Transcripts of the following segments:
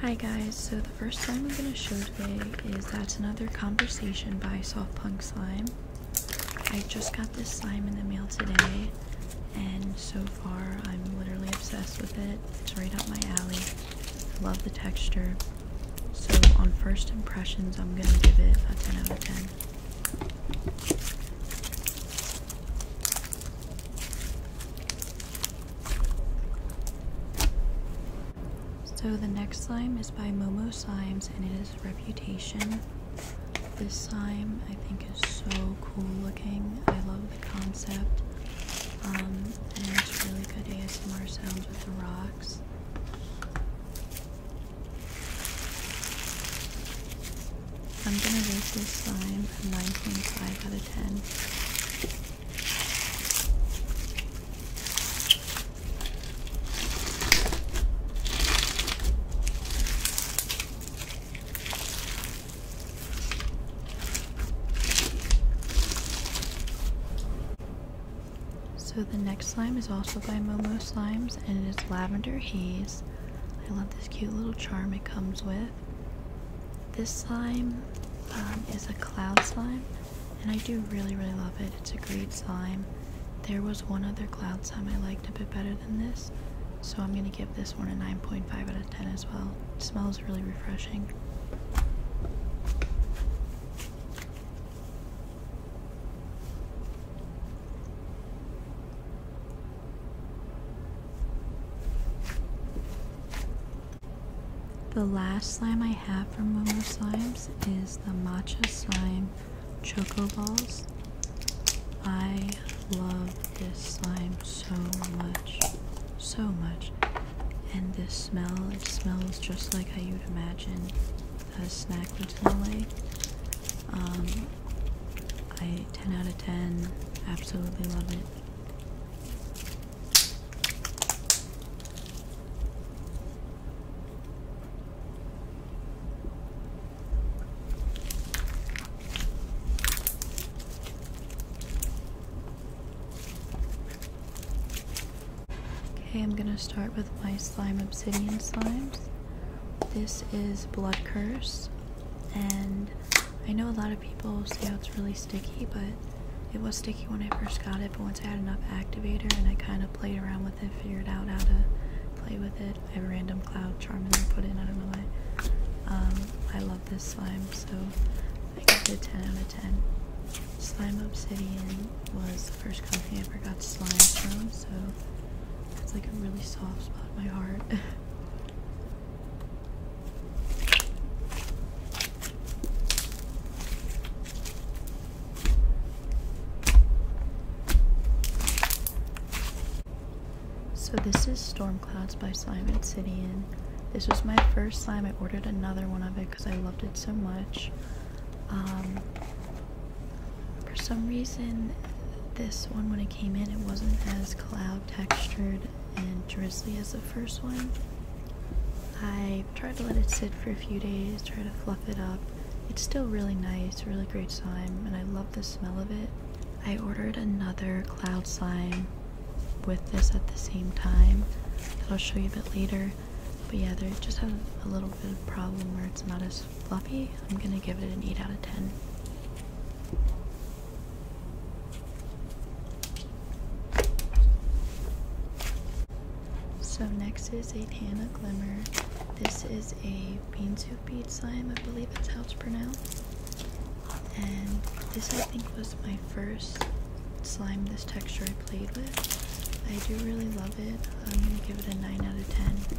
Hi guys, so the first thing I'm going to show today is That's Another Conversation by Soft Punk Slime. I just got this slime in the mail today, and so far I'm literally obsessed with it. It's right up my alley. I love the texture. So on first impressions, I'm going to give it a 10 out of 10. So the next slime is by Momo Slimes and it is Reputation. This slime I think is so cool looking. I love the concept. Um, and it's really good ASMR sounds with the rocks. I'm gonna rate this slime a 9.5 out of 10. So the next slime is also by Momo Slimes and it is Lavender Haze. I love this cute little charm it comes with. This slime um, is a cloud slime, and I do really, really love it. It's a great slime. There was one other cloud slime I liked a bit better than this, so I'm going to give this one a 9.5 out of 10 as well. smells really refreshing. The last slime I have from Momo Slimes is the Matcha Slime Choco Balls. I love this slime so much, so much. And this smell, it smells just like how you'd imagine a snack would smell um, I 10 out of 10 absolutely love it. Okay, I'm gonna start with my slime obsidian slimes. This is Blood Curse and I know a lot of people say oh, it's really sticky, but it was sticky when I first got it. But once I had enough activator and I kind of played around with it, figured out how to play with it. I have a random cloud charm in I put in. I don't know why. Um, I love this slime, so I give it a 10 out of 10. Slime Obsidian was the first company I ever got slime from, so it's like a really soft spot in my heart. So this is Storm Clouds by Slime Obsidian. This was my first slime. I ordered another one of it because I loved it so much. Um, for some reason, this one, when it came in, it wasn't as cloud textured and drizzly as the first one. I tried to let it sit for a few days, try to fluff it up. It's still really nice, really great slime, and I love the smell of it. I ordered another cloud slime with this at the same time that I'll show you a bit later. But yeah, they just have a little bit of problem where it's not as is fluffy. I'm gonna give it an 8 out of 10. So next is a Tana Glimmer. This is a bean soup bead slime, I believe it's how it's pronounced. And this I think was my first slime this texture I played with. I do really love it. I'm gonna give it a 9 out of 10.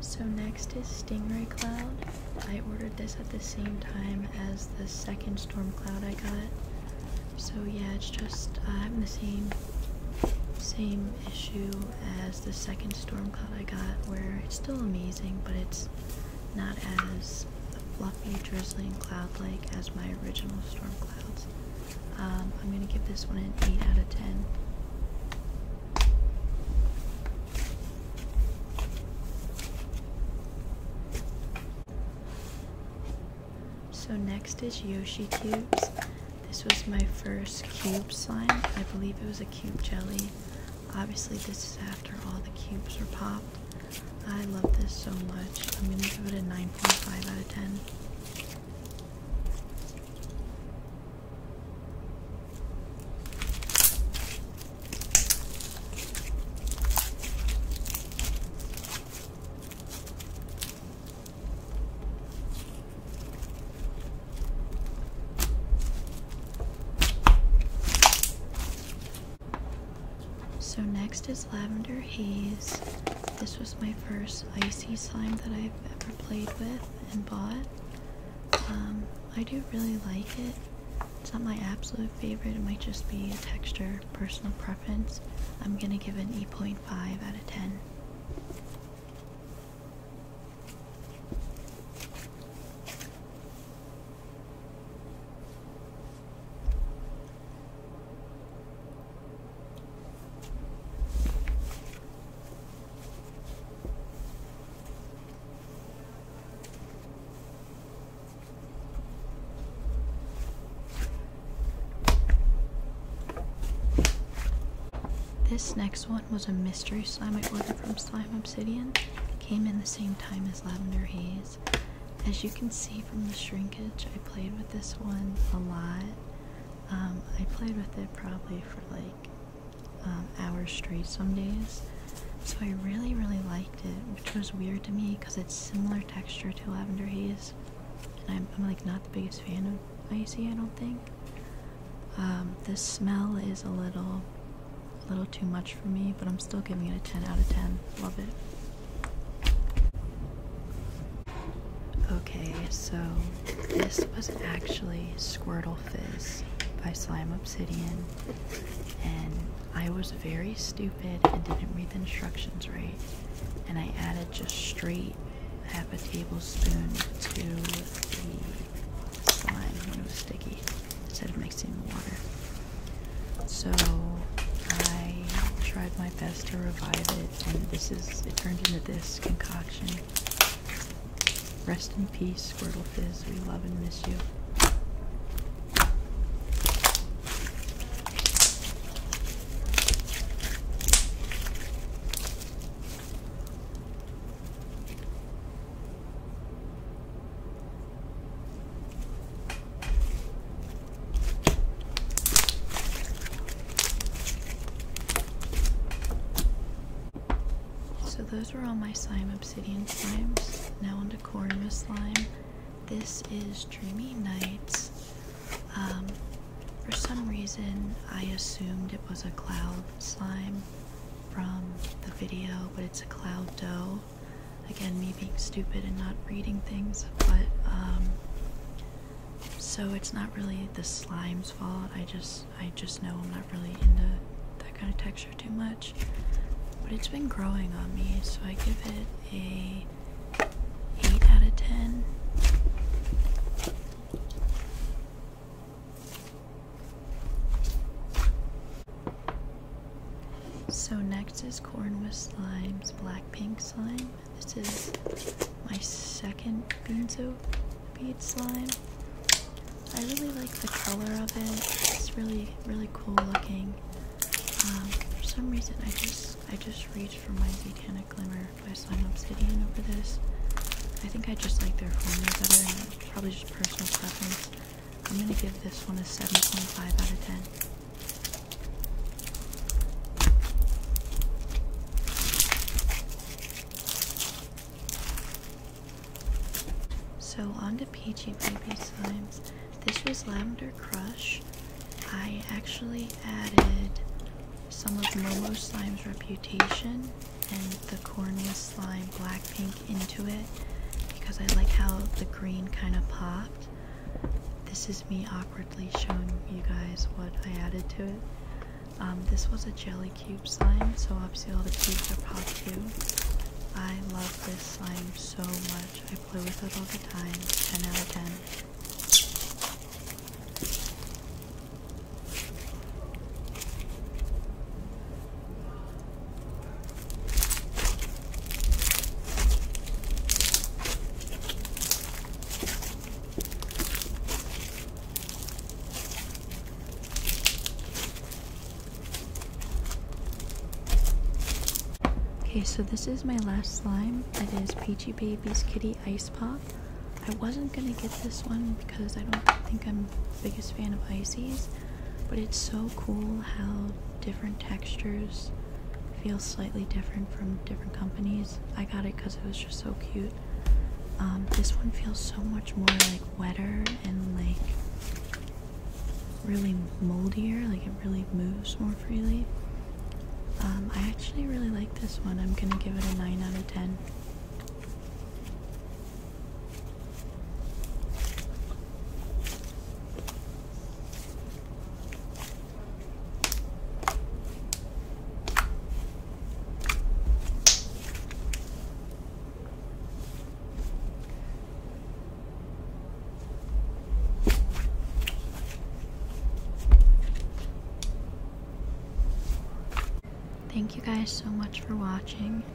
So next is Stingray Cloud. I ordered this at the same time as the second storm cloud I got. So yeah, it's just uh, having the same same issue as the second storm cloud I got where it's still amazing but it's not as fluffy drizzling cloud like as my original storm clouds. Um, I'm going to give this one an 8 out of 10. So next is Yoshi Cubes. This was my first cube slime. I believe it was a cube jelly. Obviously this is after all the cubes were popped. I love this so much. I'm going to give it a 9.5 out of 10. So next is Lavender Haze. This was my first icy slime that I ever played with and bought. Um, I do really like it. It's not my absolute favorite, it might just be a texture, personal preference. I'm gonna give it an 8.5 out of 10. This next one was a mystery slime I ordered from Slime Obsidian. Came in the same time as Lavender Haze. As you can see from the shrinkage, I played with this one a lot. Um, I played with it probably for like um, hours straight some days. So I really, really liked it, which was weird to me because it's similar texture to Lavender Haze. And I'm, like not the biggest fan of Icy, I don't think. Um, the smell is a little, a little too much for me, but I'm still giving it a 10 out of 10. Love it. Okay, so this was actually Squirtle Fizz by Slime Obsidian, and I was very stupid and didn't read the instructions right, and I added just straight half a tablespoon to the slime when it was sticky instead of mixing the water. So I tried my best to revive it, and this is it turned into this concoction. Rest in peace, Squirtle Fizz. We love and miss you. So those were all my slime obsidian slimes. Now onto corny slime. This is Dreamy Nights. Um, for some reason, I assumed it was a cloud slime from the video, but it's a cloud dough. Again, me being stupid and not reading things, but um, so it's not really the slime's fault. I just I just know I'm not really into that kind of texture too much, but it's been growing on me, so I give it a eight out of ten. So next is Corn with Slime's Black Pink Slime. This is my second Beanzo bead slime. I really like the color of it. It's really, really cool looking. Um, for some reason, I just, I just reached for my Zetanic Glimmer by Slime Obsidian over this. I think I just like their formula better, probably just personal preference. I'm going to give this one a 7.5 out of 10. So on to Peachy Baby Slimes. This was Lavender Crush. I actually added some of Momo Slime's reputation and the cornea slime Black Pink into it because I like how the green kind of popped. This is me awkwardly showing you guys what I added to it. Um, this was a jelly cube slime, so obviously all the cubes are pop too. I love this slime so much. I play with it all the time. 10 out of 10. Okay, so this is my last slime. It is Peachy Baby's Kitty Ice Pop. I wasn't gonna get this one because I don't think I'm the biggest fan of ices, but it's so cool how different textures feel slightly different from different companies i got it because it was just so cute um, this one feels so much more like wetter and like really moldier like it really moves more freely um, i actually really like this one i'm gonna give it a 9 out of 10 Thank you guys so much for watching.